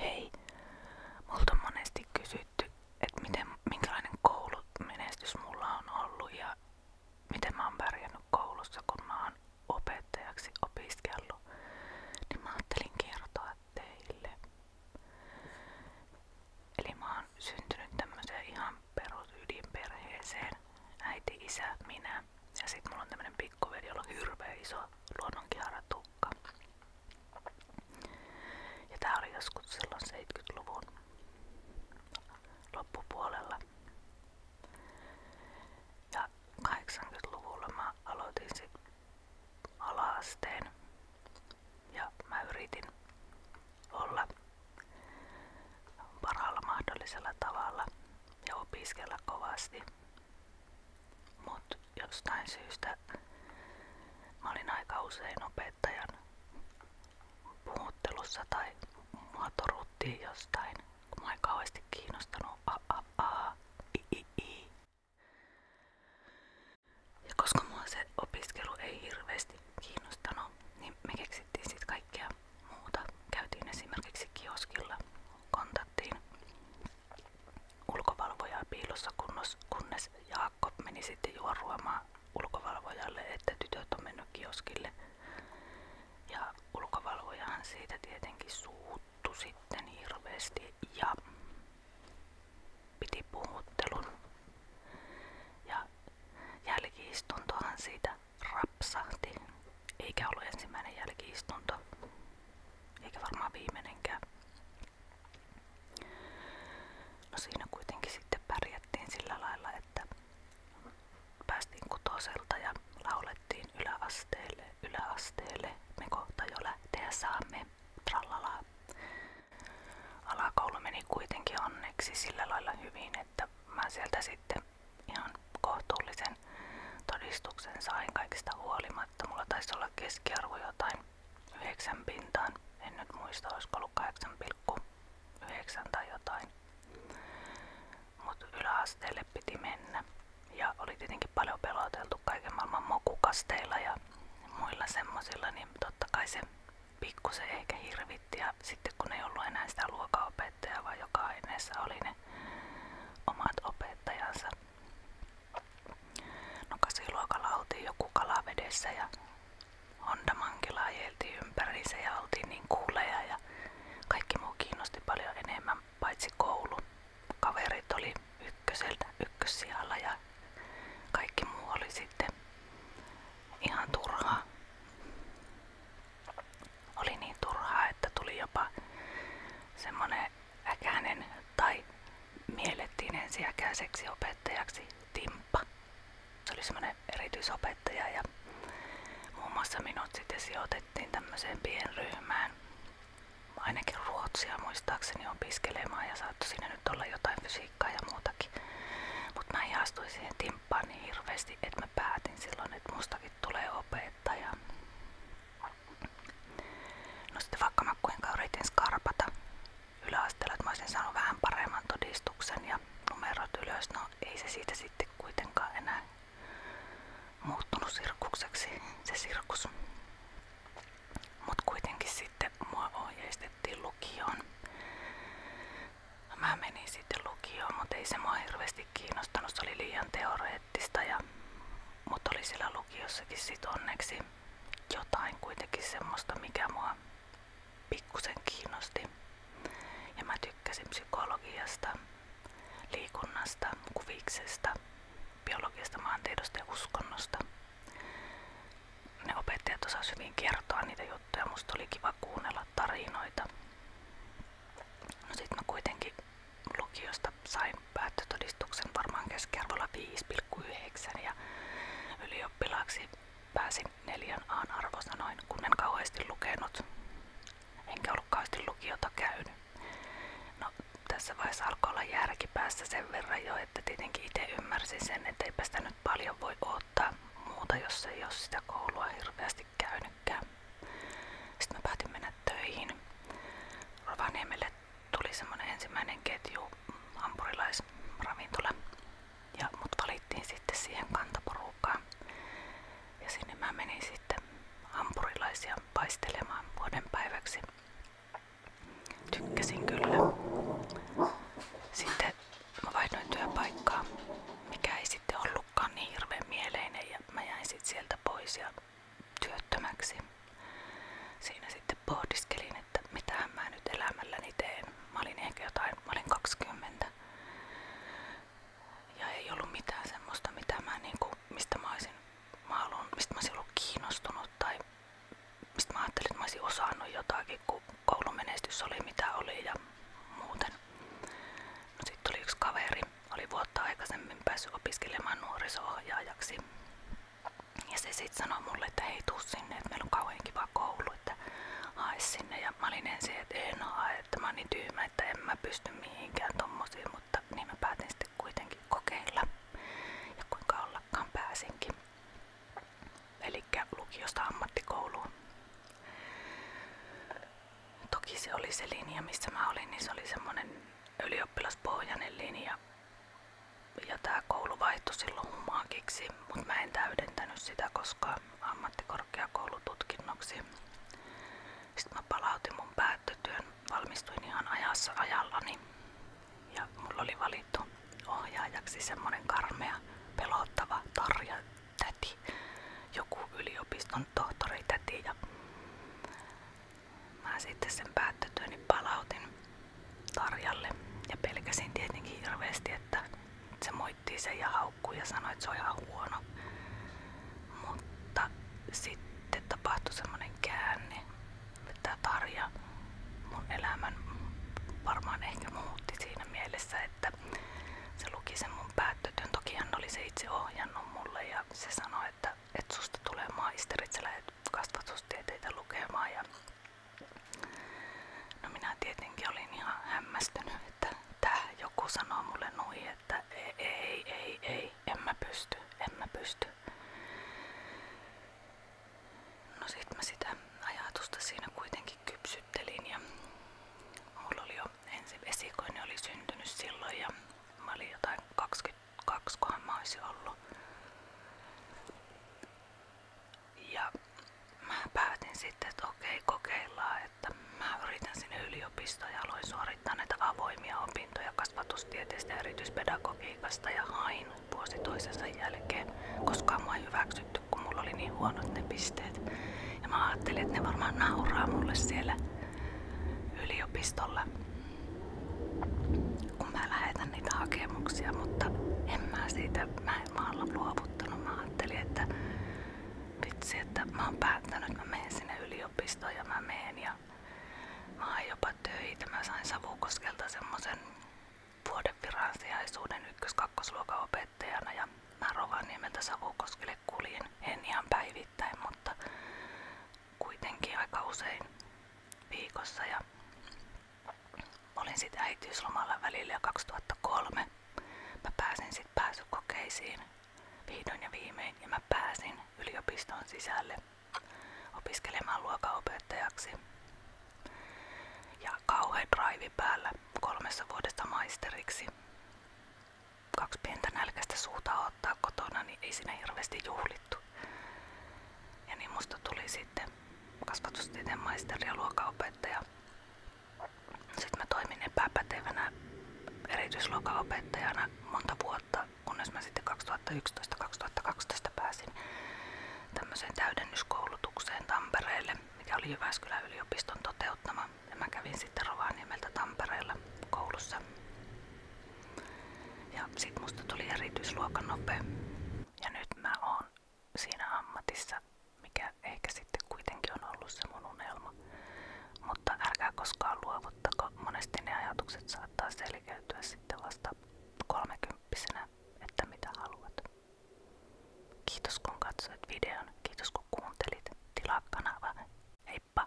Hei, multa on monesti että minkälainen koulumenestys mulla on ollut ja miten mä koulussa, kun mä oon opettajaksi Niin mä ajattelin kertoa teille. Eli mä oon syntynyt tämmöiseen ihan perusydinperheeseen. Äiti, isä, minä. Ja sitten mulla on tämmönen pikkuveri jolla on hirveä iso luonnonkiharatukka. Ja tää oli joskus silloin 70-luvun loppupuolella. Ja 80-luvulla mä aloitin sit alaasteen ja mä yritin olla parhaalla mahdollisella tavalla ja opiskella kovasti Mut jostain syystä mä olin aika usein opettajan puhuttelussa tai mua toruttiin jostain, kun mä en kauheasti kiinnostanut a a a i i i. Ja koska mua se opiskelu ei hirveästi kiinnostanut, niin me keksittiin sit kaikkea muuta. Käytiin esimerkiksi kioskilla, kontaktiin ulkovalvojaa piilossa, kunnos, kunnes Jaakko meni sitten juoruamaan ulkovalvojalle, että tytöt on mennyt kioskille. Ja ulkovalvojahan siitä tietenkin suuttu sitten hirveästi ja piti puhuttelun. Ja jälkiistuntohan siitä rapsahti, eikä ollut ensimmäinen jälkiistunto eikä varmaan viimeinenkään. No siinä kuitenkin sitten pärjättiin sillä lailla, että päästiin kutoselta ja laulettiin yläasteelle, yläasteelle, me kohta jo lähteä saamme, trallalaa. Alakoulu meni kuitenkin onneksi sillä lailla hyvin, että mä sieltä sitten ihan kohtuullisen todistuksen sain kaikista huolimatta sanoi, että mulla taisi olla keskiarvo jotain 9 pintaan. En nyt muista, olisiko ollut 8,9 tai jotain. Mutta yläasteelle piti mennä. Ja oli tietenkin paljon peloteltu kaiken maailman mokukasteilla ja muilla semmosilla, niin totta kai se pikkusen ehkä hirvitti. Ja sitten kun ei ollut enää sitä luokaopettajaa, vaan joka aineessa oli ne omat opettajansa, No kasiluokalla joku kalavedessä ja Honda Mankila ajeltiin ympäriinsä niin ja oltiin niin kuuleja ja kaikki muu kiinnosti paljon enemmän paitsi koulu. Kaverit oli ykköseltä ykkössijalla ja kaikki muu oli sitten ihan turhaa. Oli niin turhaa, että tuli jopa semmonen Äkänen tai miellettiin ensiäkään seksiopettajaksi Timppa. Se oli semmoinen erityisopettaja ja muun muassa minut sitten sijoitettiin tämmöiseen pienryhmään. Ainakin ruotsia muistaakseni opiskelemaan ja saattoi siinä nyt olla jotain fysiikkaa ja muutakin. Mutta mä ihastuin siihen timppaan niin hirveästi, että mä päätin silloin, että mustakin tulee opettaja. No sitten vaikka mä kuinka yritin skarpata yläasteella, saanut vähän paremman todistuksen ja numerot ylös, no, ei se siitä sitten kuitenkaan enää muuttunut se sirkus. Mut kuitenkin sitten mua ohjeistettiin lukioon. Mä menin sitten lukioon, mutta ei se mua hirveästi kiinnostanut, se oli liian teoreettinen poeettista, ja, mutta oli siellä lukiossakin sit onneksi jotain kuitenkin semmoista, mikä mua pikkusen kiinnosti. Ja mä tykkäsin psykologiasta, liikunnasta, kuviksesta, biologiasta, maantiedosta ja uskonnosta. Ne opettajat osasivat hyvin kertoa niitä juttuja, musta oli kiva kuunnella tarinoita. No sit mä kuitenkin lukiosta sain päättötodistuksen varmaan keskiarvolla 5,9 ja ylioppilaaksi pääsin neljän aan arvosanoin, kun en kauheasti lukenut. Enkä ollut kauheasti lukiota käynyt. No, tässä vaiheessa alkoi olla järki päässä sen verran jo, että tietenkin itse ymmärsin sen, että eipä sitä nyt paljon voi ottaa muuta, jos ei ole sitä koulua hirveästi käynytkään. Sitten mä päätin mennä töihin Rovaniemelle tuli semmonen ensimmäinen ketju hampurilaisravintola, ja mut valittiin sitten siihen kantaporukkaan. Ja sinne mä menin sitten hampurilaisia paistelemaan vuoden päiväksi. Tykkäsin kyllä. Sitten mä vaihdoin työpaikkaa, mikä ei sitten ollutkaan niin hirveän mieleinen ja mä jäin sitten sieltä pois ja työttömäksi. Siinä sitten pohdiskelin, että mitä mä nyt elämälläni teen. Mä olin ehkä jotain, mä olin 20. Ja ei ollut mitään semmoista, mitä mä niinku, mistä mä olisin, mä haluan, mistä mä olisin ollut kiinnostunut tai mistä mä ajattelin, että mä olisin osannut jotakin, kun koulumenestys oli mitä oli ja muuten. No sitten tuli yksi kaveri, oli vuotta aikaisemmin päässyt opiskelemaan nuoriso-ohjaajaksi. Ja se sitten sanoi mulle, että hei tuu sinne, että meillä on kauhean kiva koulu, että hae sinne. Ja mä olin ensin, että en hae, että mä oon niin tyhmä, että en mä pysty mihinkään tommosiin, mutta niin mä päätin sitten kuitenkin kokeilla. Ja kuinka ollakaan pääsinkin. Eli lukiosta ammattikouluun. Toki se oli se linja, missä mä olin, niin se oli semmoinen ylioppilaspohjainen linja ja tämä koulu vaihtui silloin humaakiksi, mutta mä en täydentänyt sitä koska ammattikorkeakoulututkinnoksi. Sitten mä palautin mun päättötyön, valmistuin ihan ajassa ajallani ja mulla oli valittu ohjaajaksi semmonen karmea, pelottava tarja täti, joku yliopiston tohtori täti ja Mä sitten sen päättötyöni palautin Tarjalle ja pelkäsin tietenkin että se moitti sen ja haukkui ja sanoi, että huono. Mutta sitten tapahtui semmonen käänne, että Tarja mun elämän varmaan ehkä muutti että se luki sen mun päättötön. Tokihan oli se itse ohjannut mulle ja se sanoi, että että, että susta tulee maisterit, sä lähdet kasvatustieteitä lukemaan ja no minä tietenkin olin ihan hämmästynyt, että tää joku sanoo mulle noin, että ei, ei, ei, ei, en mä pysty, en mä pysty. No sit mä sitä ajatusta siinä kuitenkin kypsyttelin ja mulla oli jo ensi esikoinen oli syntynyt silloin ja mä olin jotain 20 kaksi kohan mä ollut. Ja mä päätin sitten, että okei kokeillaan, että mä yritän sinne yliopistoon ja aloin suorittaa näitä avoimia opintoja kasvatustieteestä ja erityispedagogiikasta ja hain vuosi toisensa jälkeen. koska mua ei hyväksytty, kun mulla oli niin huonot ne pisteet. Ja mä ajattelin, että ne varmaan nauraa mulle siellä yliopistolla kun mä lähetän niitä hakemuksia, mutta en mä siitä, mä, mä oon luovuttanut. Mä ajattelin, että vitsi, että mä oon päättänyt, että mä menen sinne yliopistoon ja mä menen ja mä oon jopa töitä. Mä sain Savukoskelta semmosen vuoden viransijaisuuden ykkös-kakkosluokan opettajana ja mä Rovaniemeltä Savukoskelle kuljin. En ihan päivittäin, mutta kuitenkin aika usein viikossa ja olin sitten äitiyslomalla välillä 2003. Mä pääsin sitten pääsykokeisiin vihdoin ja viimein ja mä pääsin yliopiston sisälle opiskelemaan luokanopettajaksi. Ja kauhean drive päällä kolmessa vuodessa maisteriksi kaksi pientä nälkäistä suuta ottaa kotona, niin ei siinä hirveästi juhlittu. Ja niin musta tuli sitten kasvatustieteen maisteri ja luokanopettaja. Sitten mä toimin epäpätevänä erityisluokanopettajana monta vuotta, kunnes mä sitten 2011-2012 pääsin tämmöiseen täydennyskoulutukseen Tampereelle, mikä oli Jyväskylän yliopiston toteuttama. Ja mä kävin sitten Rovaniemeltä Tampereella koulussa ja sit musta tuli erityisluokan nope. Ja nyt mä oon siinä ammatissa, mikä ehkä sitten kuitenkin on ollut se mun unelma. Mutta älkää koskaan luovuttako. Monesti ne ajatukset saattaa selkeytyä sitten vasta kolmekymppisenä, että mitä haluat. Kiitos kun katsoit videon, kiitos kun kuuntelit. Tilaa kanava. Heippa!